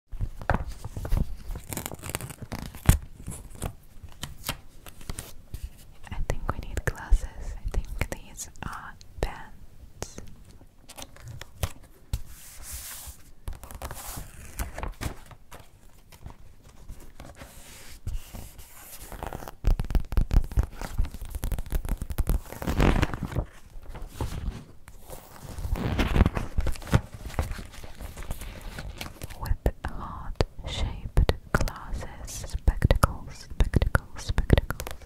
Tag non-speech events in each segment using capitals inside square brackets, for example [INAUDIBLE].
I think we need glasses. I think these are bands. With heart shaped glasses, spectacles, spectacles, spectacles.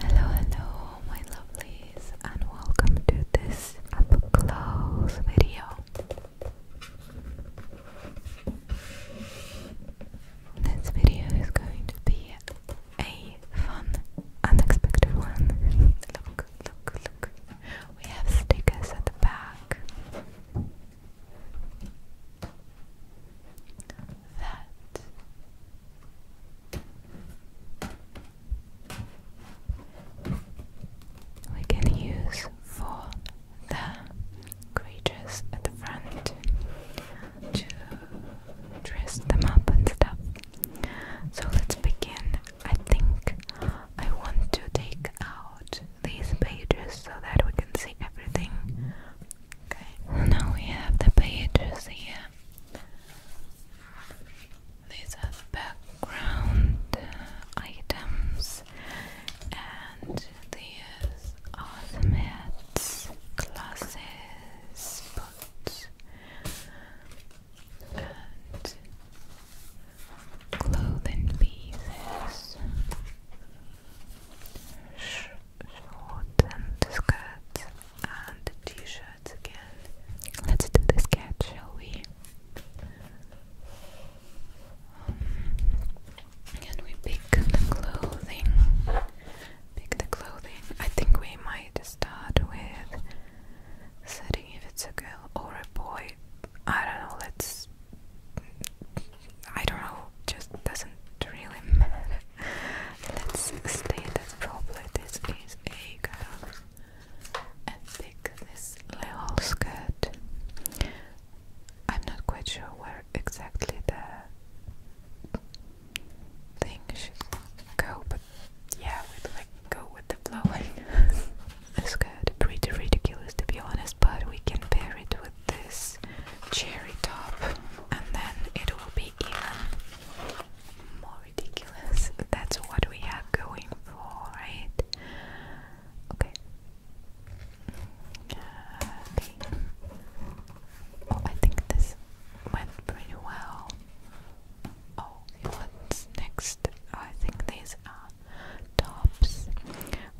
Hello, hello, my lovelies, and welcome to this up close video. This video is going to be a fun, unexpected one. look, look, look. We have stickers at the back. That. We can use for the creatures at the front to dress them up and stuff. So let's begin. I think I want to take out these pages so that we can see everything. Okay, now we have the pages here. These are background uh, items, and these are the mats, classes, spots and clothing pieces, shorts and skirts and t-shirts again. Let's do the sketch, shall we? Um, and we pick the clothing Pick the clothing. I think we might start with setting if it's a girl or a boy. I don't know, let's. I don't know, just doesn't really matter. Let's state that probably this is a girl and pick this little skirt. I'm not quite sure where exactly the thing should go, but yeah, we like go with the flow. [LAUGHS] this got pretty ridiculous to be honest, but we can pair it with this cherry top, and then it will be even more ridiculous. That's what we are going for, right? okay. Uh, oh, I think this went pretty well. Oh, what's next? I think these are tops.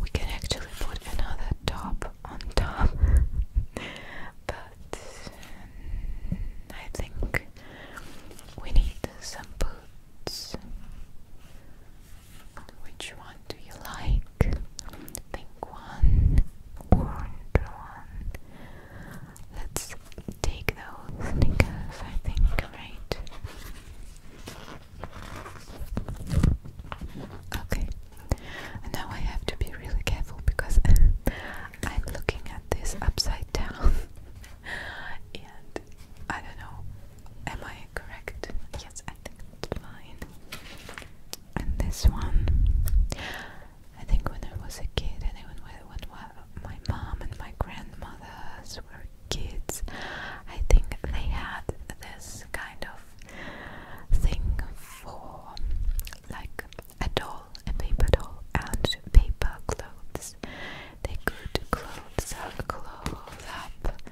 We can actually put another top on top, [LAUGHS] but mm, I think we need some boots. Which one do you like? pink one, Let's take those I think, right? Okay, now I have to be really careful because I'm looking at this upside down [LAUGHS] and I don't know, am I correct? Yes, I think it's fine. And this one, I think when I was a kid, and even when my mom and my grandmothers were kids, I think they had this kind of thing for like a doll, a paper doll, and paper clothes. They could clothes, clothes up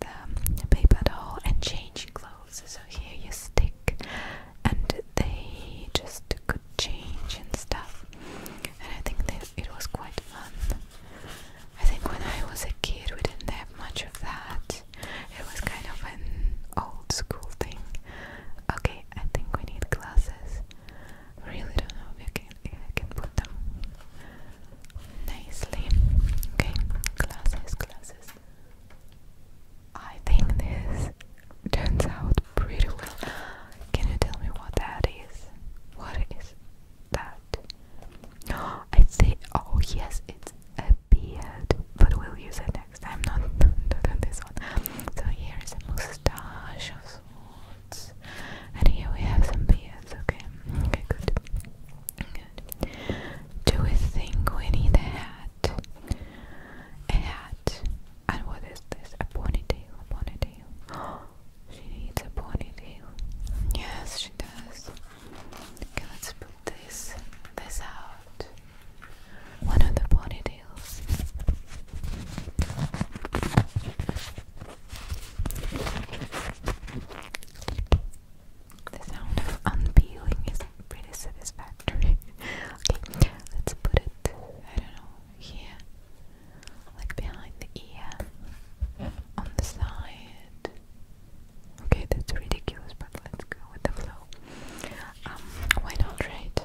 the paper doll and change clothes. So here you stick, and they just could change and stuff. And I think that it was quite fun. I think when I was a kid, we didn't have much of that. It was kind of an old school thing. Okay, I think we need glasses. Really don't know if I can, I can put them nicely. Okay, glasses, glasses. I think this turns out pretty well. Can you tell me what that is? What is that? [GASPS] I say, oh yes, it's a beard, but we'll use it next time, not, [LAUGHS] not on this one. So here is a mustache of sorts, and here we have some beards. Okay, okay, good. Do we think we need a hat? a hat. And what is this? A ponytail, a ponytail. [GASPS] she needs a ponytail. Yes, she does. Okay, let's put this this out. One of the ponytails. The sound of unpeeling is pretty satisfactory. [LAUGHS] okay, let's put it, I don't know, here, like behind the ear, on the side. Okay, that's ridiculous, but let's go with the flow. Um, why not, right?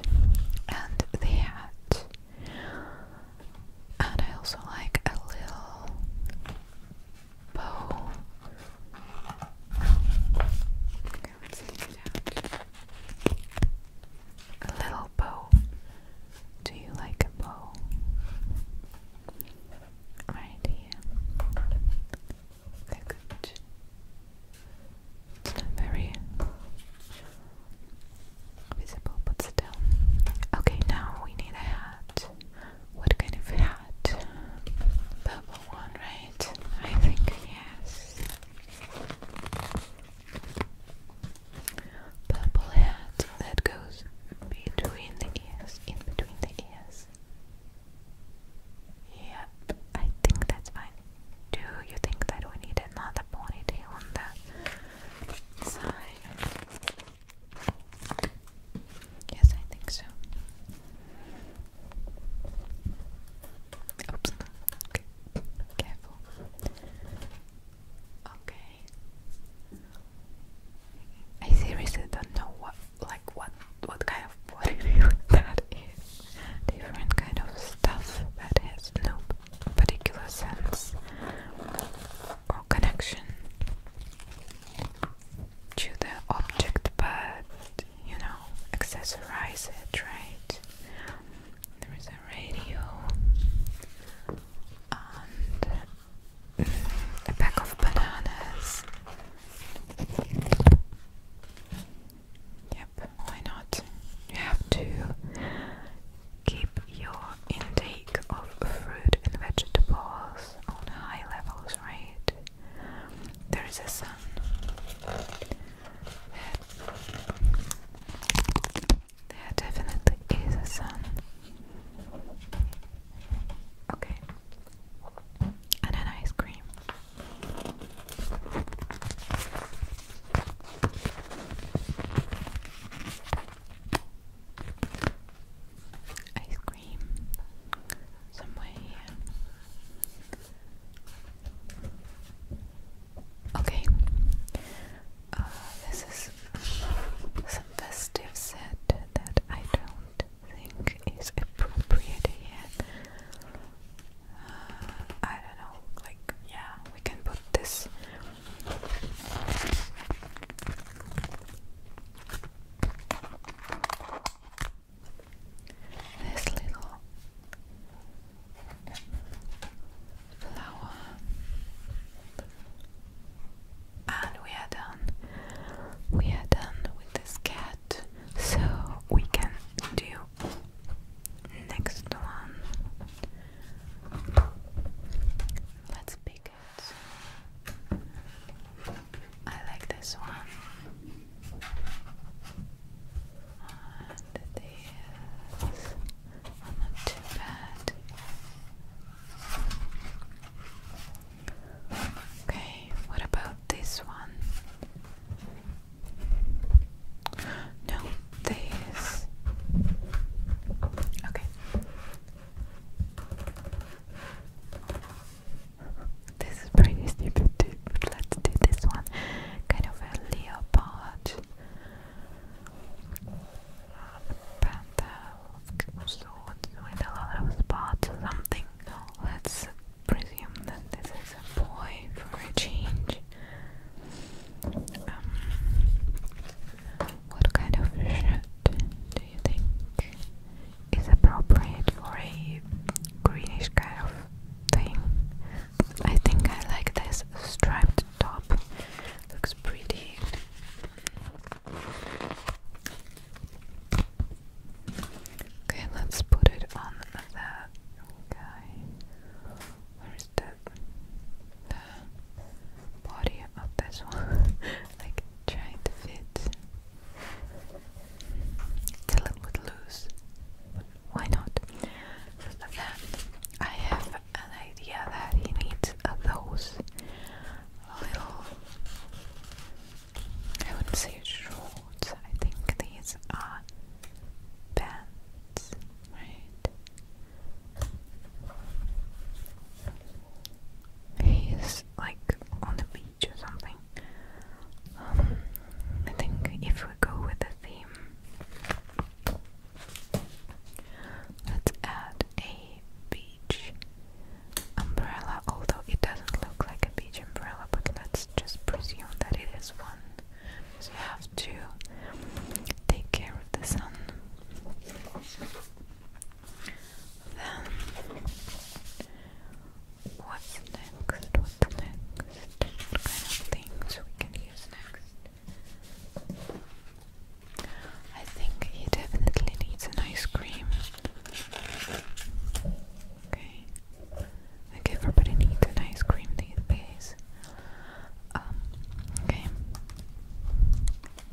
And the hat. And I also like a little bow. Okay, A little bow. Do you like a bow? Right here. they It's not very visible, but still. Okay, now we need a hat. What kind of hat? purple one, right? I think yes. Purple hat that goes between the ears, in between the ears. Yep, I think that's fine. Do you think that we need another ponytail on the side? Yes, I think so. I seriously don't know what, like, what, what kind of body [LAUGHS] that is. Different kind of stuff that has no particular sense or connection to the object, but you know, accessorize it, right? There is a radio and a pack of bananas. Yep, why not? You have to keep your intake of fruit and vegetables on high levels, right? There is a sun. There definitely is a sun. Okay. And an ice cream. Ice cream somewhere here. Okay, uh, this is some festive set that I don't think is appropriate here. Uh, I don't know, like, yeah, we can put this this little flower, and we are done. We are done with this cat, so we can do next one. Let's pick it. I like this one. And these not too bad. Okay, what about this one? No, this. Okay. This is pretty stupid too, but let's do this one. Kind of a leopard. Panda of with a lot of spots or something. Let's presume that this is a boy for a change. Um, what kind of shirt do you think? is appropriate for a greenish kind of thing. I think I like this striped top. Looks pretty. Okay, let's put it on that guy. Where is The body of this one, [LAUGHS] like trying to fit. Dylan would lose. Why not? First I have an idea that he needs those little. I wouldn't say shorts. I think these are bands, right? He's like on the beach or something. Um, I think if we go with the theme, let's add a beach umbrella. Although it doesn't look like a beach umbrella, but let's just presume that it is one. So you have to take care of the sun. Then What's next? What's next? What kind of things we can use next? I think he definitely needs an ice cream. Okay. Like everybody needs an ice cream these days. Um, okay.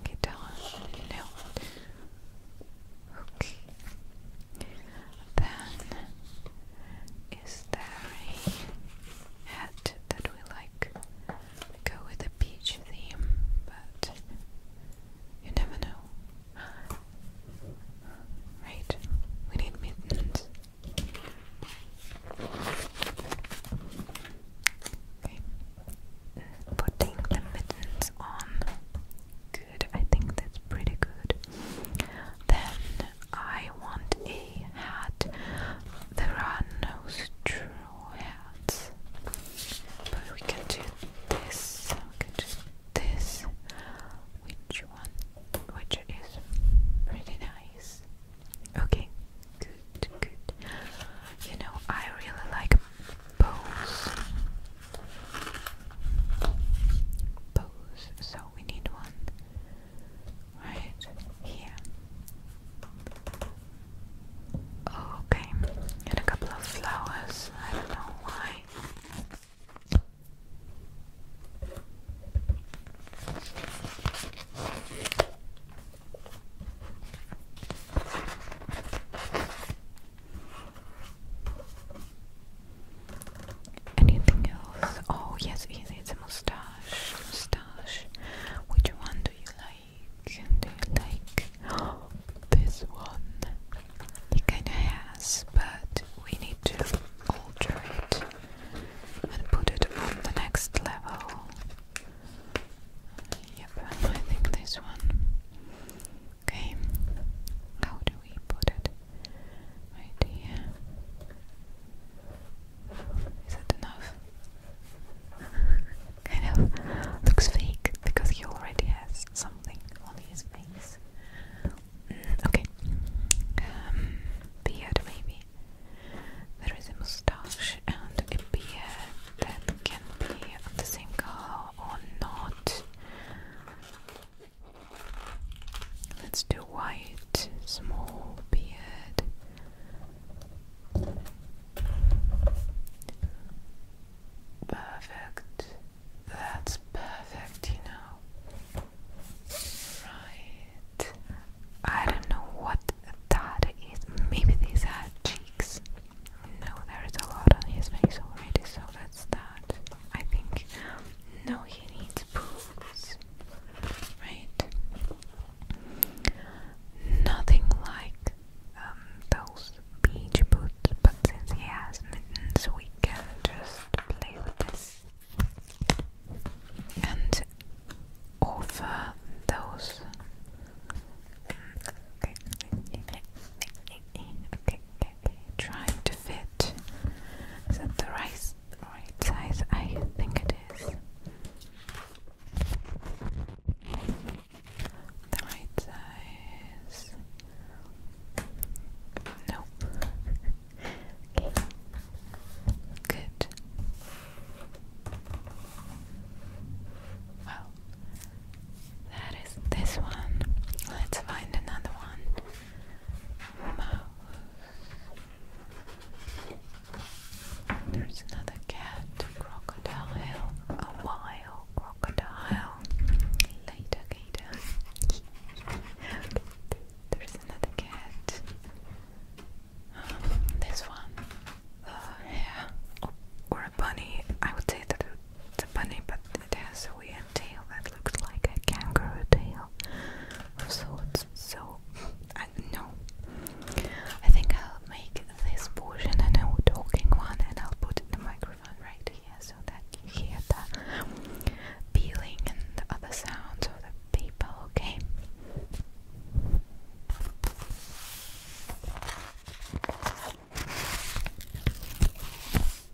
Guitar. No. Okay. Then is there a hat that we like go with the beach theme, but you never know. Right, we need mittens. Putting the mittens on. I think that's pretty good. Then I want a hat. There are no straw hats. But we can do this. We can do this. Which one? Which is pretty nice. Okay, good, good. You know, I really like bows pose. So we need one right here. Okay, and a couple of flowers. I don't know why. Anything else? Oh yes, it's a mustache. Mustache. Which one do you like? Do you like this one? It kinda has, but we need to alter it and put it on the next level. Yep, I think this one. Okay, how do we put it? right here. Is that enough? [LAUGHS] kind of looks fake because he already has something on his face. Mm, okay. Um, beard, maybe. There is a mustache and a beard that can be the same color or not. Let's do white, small beard. Perfect. That's perfect, you know. Right. I don't know what that is. Maybe these are cheeks. No, there is a lot on his face already, so that's that. I think no he needs boots. Right? Nothing like um, those beach boots, but since he has mittens we can just play with this. And offer those mm, Okay trying to fit. Is that the right, right size? I think it is. The right size. Nope. okay. Good. Well, that is this one. Let's find another one mouse. There's another cat, crocodile, a wild crocodile. Later, gator. There's another cat. this one, uh, yeah, or a bunny. I would say that it's a bunny, but it has a weird tail that looks like a kangaroo tail So it's So, I don't know. I think I'll make this portion a no talking one and I'll put the microphone right here so that you hear the peeling and the other sounds of the paper, okay?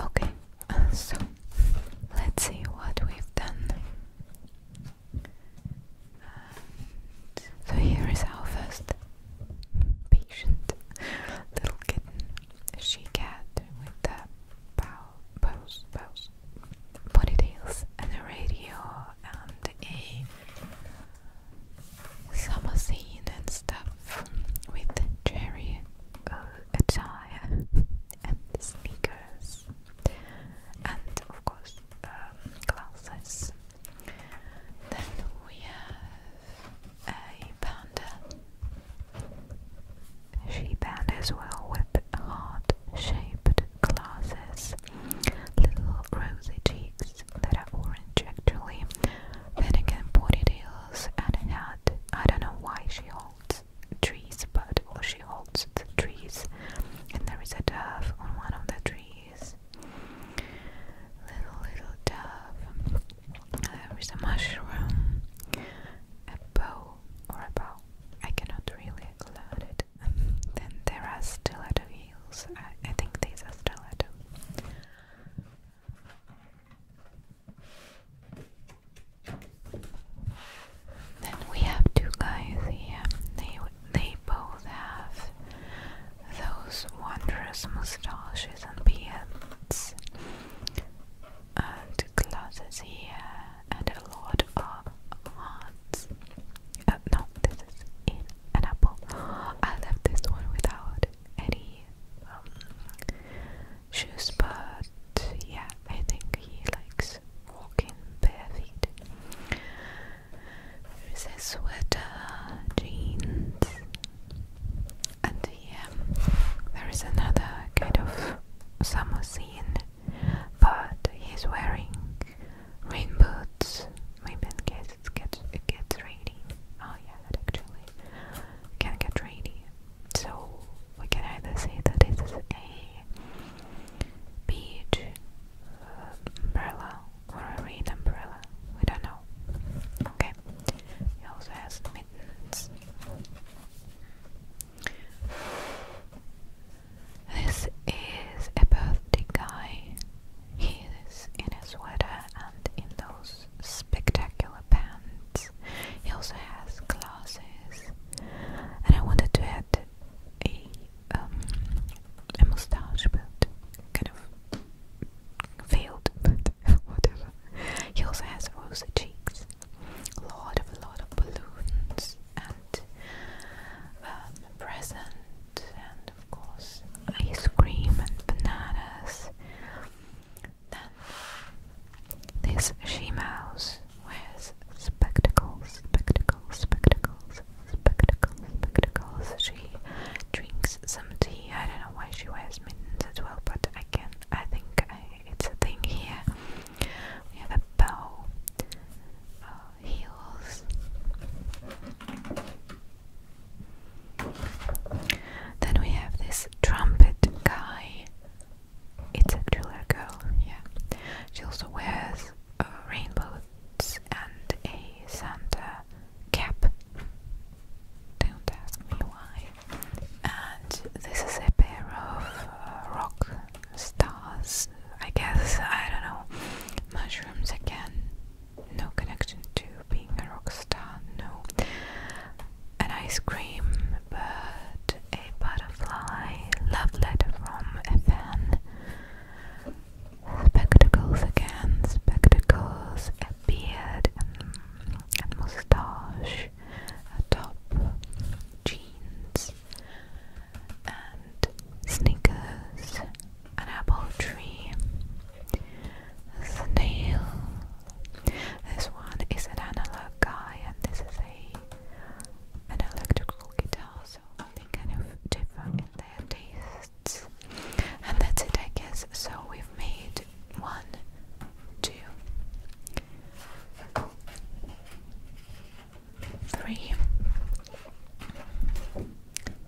Okay, [LAUGHS] so let's see what we've done. And so here is our first patient [LAUGHS] little kitten, she cat with the bow, bows, bows, ponytails, and a radio, and a summer scene and stuff with cherry uh, attire and sneakers and of course um, glasses. Then we have a panda. She panda as well with heart shaped glasses, little rosy cheeks, eyes that are orange actually. Then again, hills and a hat. I don't know why she holds trees, but she holds the trees. And there is a dove on one of the trees. Little, little dove. There is a mushroom, a bow, or a bow. I cannot really learn it. Then there are stiletto heels. I think these are stiletto. Then we have two guys here. They they both have those wondrous mustaches and beards, and glasses here, and a lot of hearts. Uh, no, this is in an apple. [GASPS] I left this one without any um, shoes, but yeah, I think he likes walking bare feet. There's a sweater, jeans, and yeah, there is another kind of summer scene, but he's wearing rain boots. Maybe it gets it gets rainy. Oh yeah, actually can get rainy. So we can either say that it is a beach uh, umbrella or a rain umbrella. We don't know. Okay. It also has mittens. This is a birthday guy. He is in a sweater and in those spectacular pants. He also has glasses. And I wanted to add a um, a mustache but kind of failed [LAUGHS] but whatever. He also has rosy cheeks. A lot of lot of balloons and um, presents and of course ice cream and bananas. Then this she mouse wears spectacles, spectacles, spectacles, spectacles, spectacles. She drinks some tea. I don't know why she wears mittens as well, but I can. I think it's a thing here. We bow, uh, heels, then we have this trumpet guy. It's actually a girl, yeah. She also wears uh, rain boots and a Santa cap. Don't ask me why. And this is a pair of uh, rock stars, I guess. I don't know. Mushrooms again no connection to being a rock star, no. An ice cream, but a butterfly, love letter from a fan. Spectacles again, spectacles, a beard a moustache, a top, jeans, and sneakers, an apple tree, Snail. This one is an analog guy, and this is a an electrical guitar, so they kind of different in their tastes. And that's it, I guess. So we've made one, two, three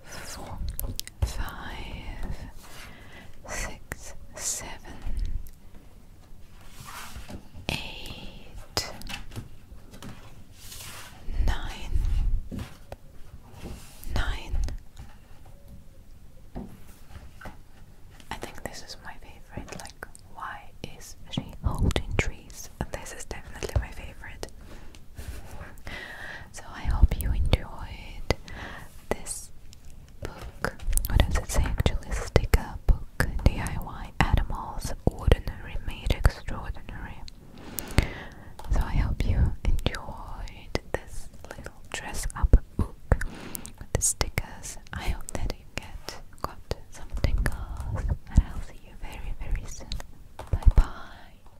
four, five, six, seven, eight, nine, nine. I think this is my favorite. Like, why is she holding trees? This is definitely my favorite. So I hope you enjoyed this book. What does it say actually? Sticker book DIY Animals Ordinary Made Extraordinary. So I hope you enjoyed this little dress up book with the stickers. I hope that you get got some tingles and I'll see you very very soon. Bye bye.